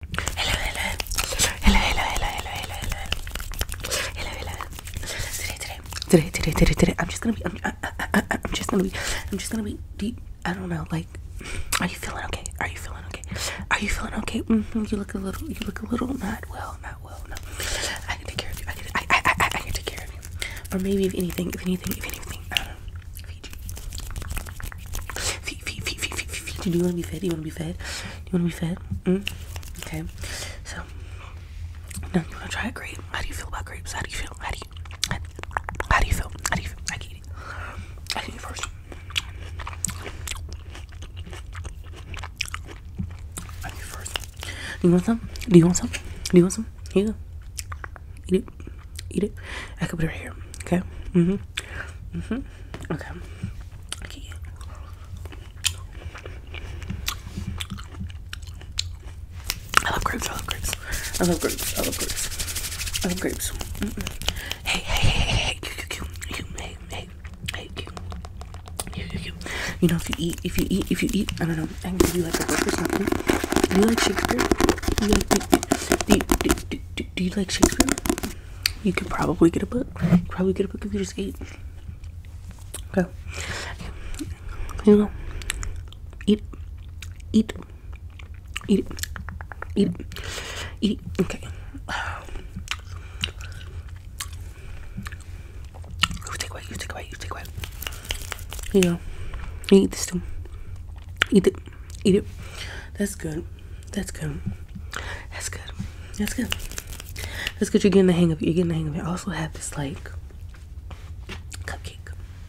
Hello, hello, hello, hello, hello, hello, hello, hello, hello. Today, today, today, today, today, today. I'm just gonna be. I'm, I, I, I, I'm just gonna be. I'm just gonna be. Deep, I don't know. Like, are you feeling okay? Are you feeling okay? Are you feeling okay? Mm -hmm, you look a little. You look a little not well. Not well. No. I can take care of you. I can. I. I. I, I can take care of you. Or maybe if anything. If anything. If anything. I don't know. If do you want to be fed? Do you want to be fed? Do you want to be fed? Mm -hmm. Okay. So, No, you want to try a grape? How do you feel about grapes? How do you feel? How do you? How, do you feel? How do you feel? I can eat it. I can eat it first. I eat it first. Do you want some? Do you want some? Do you want some? Here you go eat it. I can put it right here. Okay. Mhm. Mm mhm. Mm okay. Okay. I love grapes. I love grapes. I love grapes. I love grapes. I love grapes. Mm -mm. Hey, hey, hey, hey, hey, you, you, you, hey, hey, hey, you, you, you, you. You know, if you eat, if you eat, if you eat, I don't know. I can give you like a book or something. You like Shakespeare? You like the the the, the, do, you like Shakespeare? You could probably get a book. Probably get a book of you just eat. Go. you know. Eat. Eat. Eat. Eat. Eat. Okay. You take away. You take away. You take away. you know. You eat this too. Eat it. Eat it. That's good. That's good. That's good. That's good. That's good. You're getting the hang of it. You're getting the hang of it. I also have this like cupcake.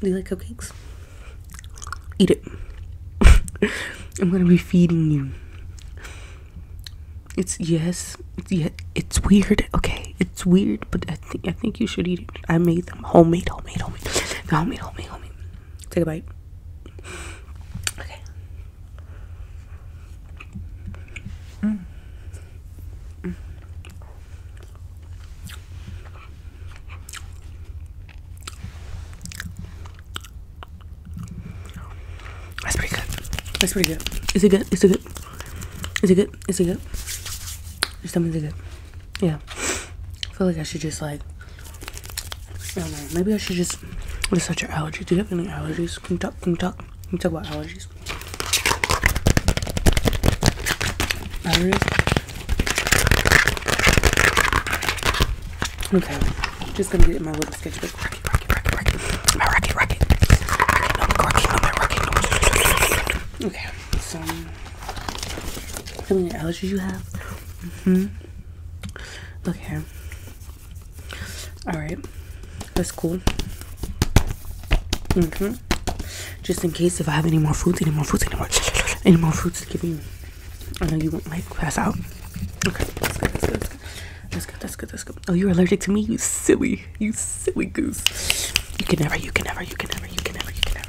Do you like cupcakes? Eat it. I'm gonna be feeding you. It's yes, it's, yeah, it's weird. Okay, it's weird, but I think I think you should eat it. I made them homemade, homemade, homemade, homemade, homemade. Take a bite. Okay. Mm. Mm. That's pretty good. That's pretty good. Is it good? Is it good? Is it good? Is it good? Your stomach's good yeah i feel like i should just like maybe i should just What's research your allergies do you have any allergies can you talk can we talk can you talk about allergies allergies okay just gonna get my little sketchbook okay so how many allergies you have. Mm-hmm. Okay. Alright. That's cool. Mm-hmm. Just in case if I have any more fruits, any more fruits, any more any more fruits to give you. I know you won't like pass out. Okay, that's good, that's good, that's good. That's good, that's good, that's good. Oh, you're allergic to me, you silly, you silly goose. You can never, you can never, you can never, you can never, you can never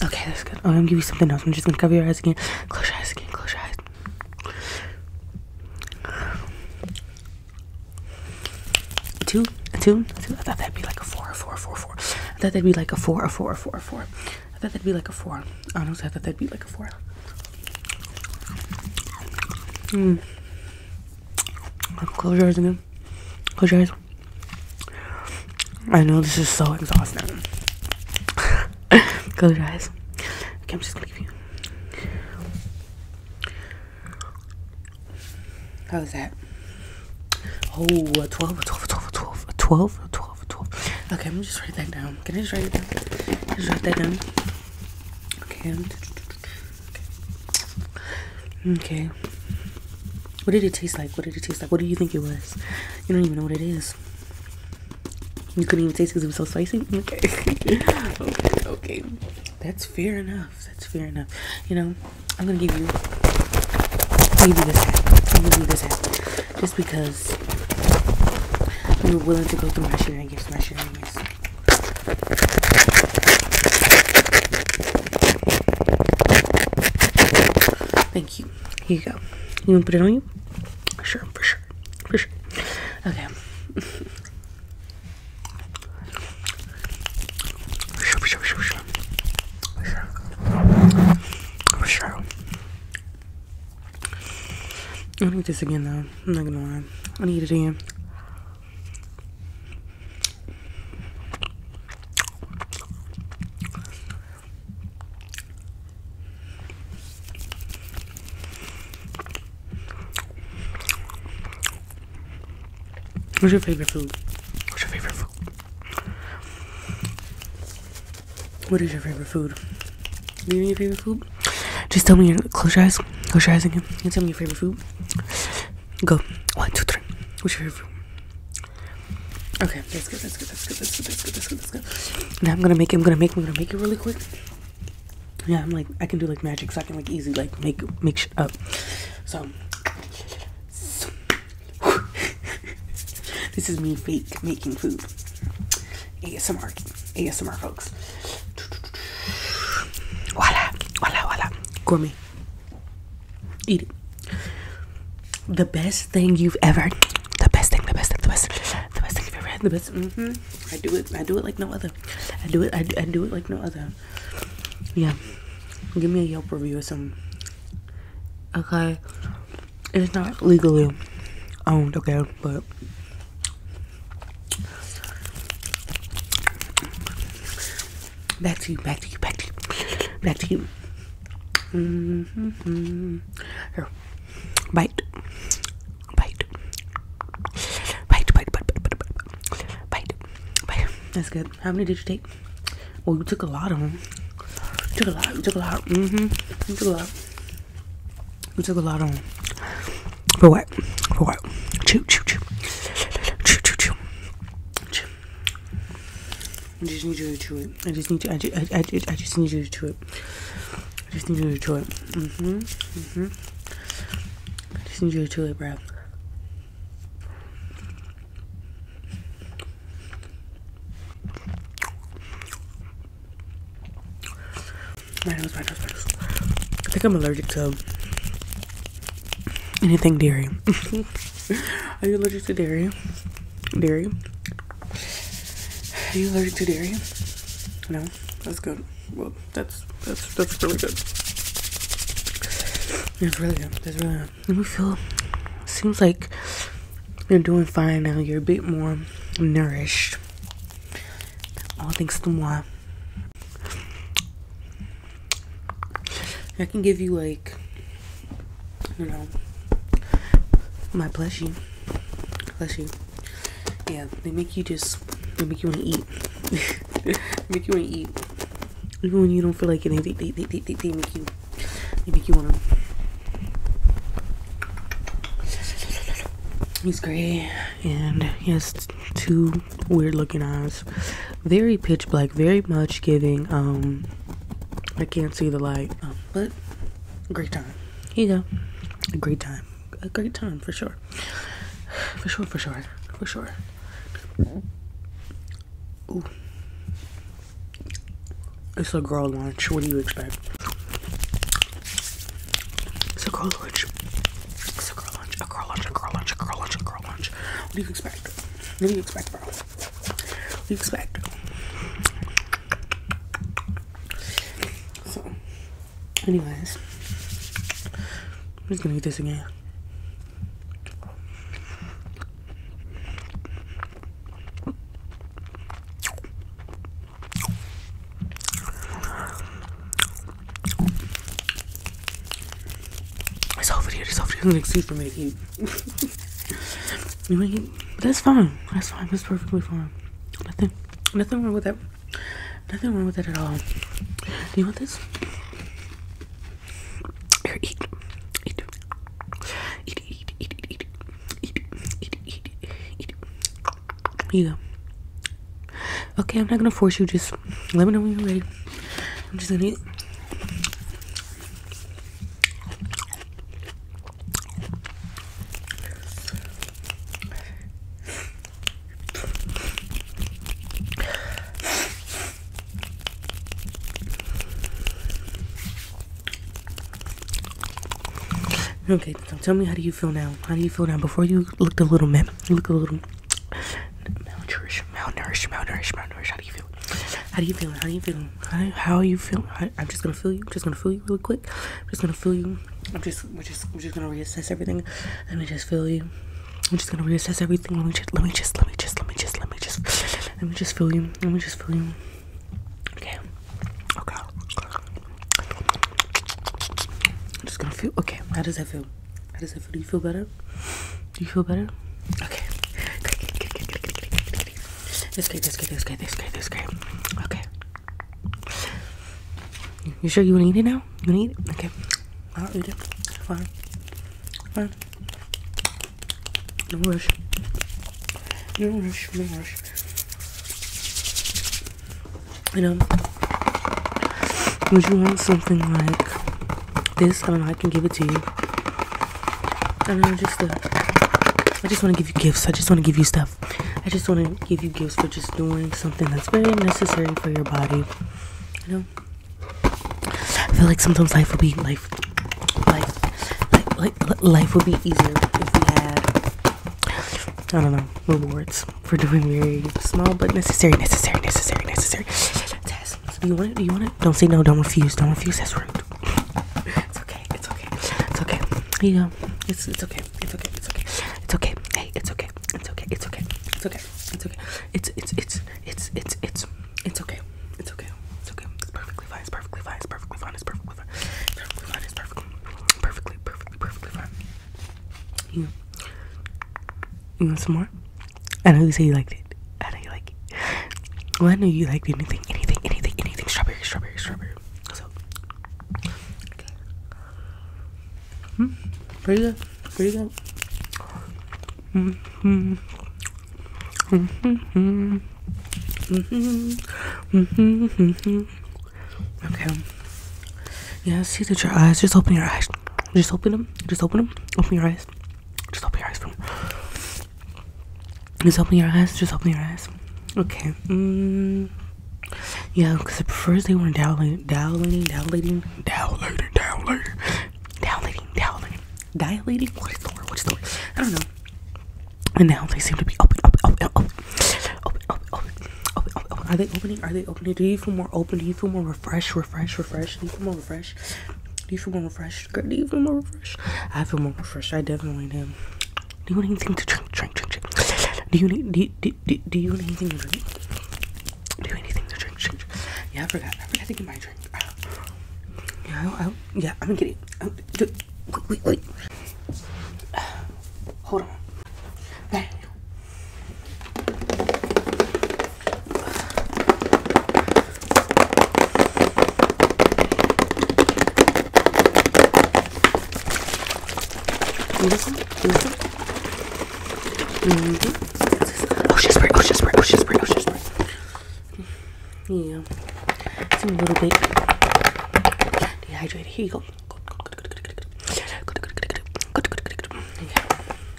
Okay, that's good. Oh, I'm gonna give you something else. I'm just gonna cover your eyes again. Close your eyes again. Close your eyes. Two, two, two. I thought that'd be like a four, a four, a four, a four. I thought that'd be like a four, a four, a four, a four. I thought that'd be like a four. Honestly, I thought that'd be like a four. Hmm. Close your eyes again. Close your eyes. I know this is so exhausting. Close your eyes. Okay, I'm just leave you. How was that? Oh, a 12, a 12, a 12, a 12, a 12, a 12. Okay, I'm gonna just write that down. Can I just write it down? Just write that down. Okay. Okay. What did it taste like? What did it taste like? What do you think it was? You don't even know what it is. You couldn't even taste because it was so spicy. Okay. okay. Okay. That's fair enough. That's fair enough. You know, I'm gonna give you. Maybe this hat. i give you this hat just because you are willing to go through my shenanigans, my shenanigans. Thank you. Here you go. You want to put it on you? Sure, for sure, for sure. Okay. For sure, for for sure, for sure, for sure, for sure, I need this again though. I'm not gonna lie. I need it again. What's your favorite food? What's your favorite food? What is your favorite food? Do you your favorite food? Just tell me. Your, close your eyes. Close your eyes again. tell me your favorite food. Go. One, two, three. What's your favorite food? Okay, that's good. That's good. That's good. That's good. That's good. That's good. That's good. Now I'm gonna make. It, I'm gonna make. I'm gonna make it really quick. Yeah, I'm like I can do like magic, so I can like easily like make make up. so this is me fake making food. ASMR, ASMR folks. Voila, voila, voila. Gourmet. Eat it. The best thing you've ever. The best thing, the best thing, the best, the best thing you've ever had. The best. Mm -hmm. I do it. I do it like no other. I do it. I I do it like no other. Yeah. Give me a Yelp review or something. Okay, it's not legally owned. Okay, but back to you, back to you, back to you, back to you. Mm -hmm. Here, bite. bite, bite, bite, bite, bite, bite, bite, bite. That's good. How many did you take? Well, you took a lot of them. You took a lot. You took a lot. Mm-hmm. You took a lot. We took a lot of them. For what? For what? Choo, choo, choo. Choo, choo, choo. choo. I just need you to chew it. I just need to. I, just need you to chew it. I just need you to chew it. Mm-hmm. Mm-hmm. I just need you to chew it, bro. My nose, my nose, my nose. I think I'm allergic to anything dairy. Are you allergic to dairy? Dairy? Are you allergic to dairy? No? That's good. Well, that's that's that's really good. That's really good. That's really good let me feel seems like you're doing fine now you're a bit more nourished all things to moi i can give you like you know my plushie plushie yeah they make you just they make you want to eat make you want to eat even when you don't feel like it, they, make you, they make you want to. He's gray and he has two weird looking eyes. Very pitch black, very much giving. Um, I can't see the light, um, but great time. Here you go. A great time. A great time for sure. For sure, for sure, for sure. It's a girl lunch. What do you expect? It's a girl lunch. It's a girl lunch. A girl lunch. A girl lunch. A girl lunch. A girl lunch. What do you expect? What do you expect, bro? What do you expect? So, anyways, I'm just gonna eat this again. It's over here. It's over here. Like, see for me to eat. you that's fine. That's fine. That's perfectly fine. Nothing. Nothing wrong with that. Nothing wrong with it at all. Do you want this? Here, eat. Eat. Eat, eat, eat, eat, eat. Eat, eat, eat, you go. Okay, I'm not gonna force you. Just let me know when you're ready. I'm just gonna eat. Okay, tell me how do you feel now? How do you feel now? Before you looked a little man, you looked a little malnourished, malnourished, malnourished, malnourished. How do you feel? How do you feel? How do you feel? How, are you feeling? I'm just gonna feel you. just gonna feel you really quick. just gonna feel you. I'm just we're just we're just gonna reassess everything. Let me just feel you. I'm just gonna reassess everything. Let me just let me just let me just let me just let me just let me just feel you. Let me just feel you. Okay. Okay. I'm just gonna feel okay. How does that feel? How does that feel? Do you feel better? Do you feel better? Okay. It's great, it's great, it's great, it's great, it's great, it's great, it's great. Okay. You sure you want to eat it now? You want to eat it? Okay. I'll eat it. Fine. Fine. No rush. No rush. No rush. You know, would you want something like this? I I can give it to you. I don't know. Just, uh, I just want to give you gifts. I just want to give you stuff. I just want to give you gifts for just doing something that's very necessary for your body. You know, I feel like sometimes life would be life, life, life, life, would be easier if we had, I don't know, rewards for doing very small but necessary, necessary, necessary, necessary tasks. Do you want it? Do you want it? Don't say no. Don't refuse. Don't refuse. That's rude. It's okay. It's okay. It's okay. Here you go know, it's it's okay. It's okay. It's okay. It's okay. Hey, it's okay. It's okay. It's okay. It's okay. It's okay. It's it's it's it's it's it's it's okay. It's okay. It's okay. It's perfectly fine. It's perfectly fine. It's perfectly fine. It's perfectly fine. Perfectly fine. It's perfectly perfectly perfectly perfectly fine. You you want some more? I know you say you liked it. I know you like it. Well, I know you liked anything, anything, anything, anything. Strawberry, strawberry, strawberry whatever. So, okay. Mm, pretty good. Pretty good. Mm hmm. Mm hmm. Mm hmm. Mm hmm. Mm hmm. Okay. Yeah, see that your eyes. Just open your eyes. Just open them. Just open them. Open your eyes. Just open your eyes. From. Just open your eyes. Just open your eyes. Okay. Mm. Yeah, because first they were dilating, dilating, dilating, dilating, dilating, dilating, dilating, dilating. What is the word? What is the word? I don't know. And now they seem to be open, open, open, open, open, open, open, open, open. Are they opening? Are they opening? Do you feel more open? Do you feel more refreshed? Refresh, refresh. Do you feel more refreshed? Do you feel more refreshed? Girl, do you feel more refreshed? I feel more refreshed. I definitely do. Do you want anything to drink? Drink, drink, drink. Do you need do you, do, do, do you want anything to drink? Do you need anything to drink? drink, drink? Yeah, I forgot. I forgot to get my drink. Uh, yeah, I, yeah, I'm kidding. Uh, wait, wait, wait. hold on. Bang. Mm -hmm. Mm -hmm. Mm -hmm. Ocean spray, ocean spray, ocean spray, ocean spray. Yeah. It's a little bit dehydrated. Here you go. Yeah.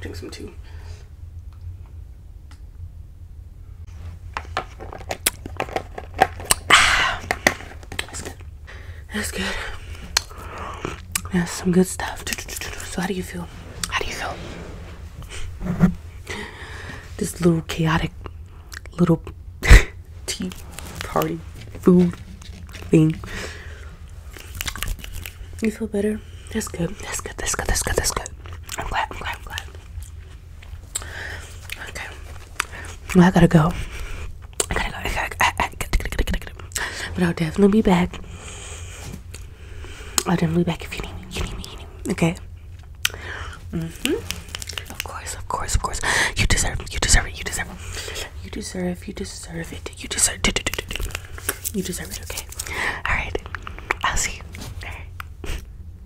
Drink some too. That's good. That's good. That's some good stuff. So how do you feel? How do you feel? This little chaotic little tea party food thing. You feel better? That's good. That's good. That's good. That's good. That's good. I'm glad. I'm glad. I'm glad. Okay. I gotta go. I gotta go. I gotta, I, But I'll definitely be back. I'll definitely be back if you need me. You need me. Okay. Mm-hmm. Of course, of course, of course. You deserve You deserve it. You deserve it. You deserve You deserve it. You deserve it. You deserve it, okay? Alright. I'll see you. Alright.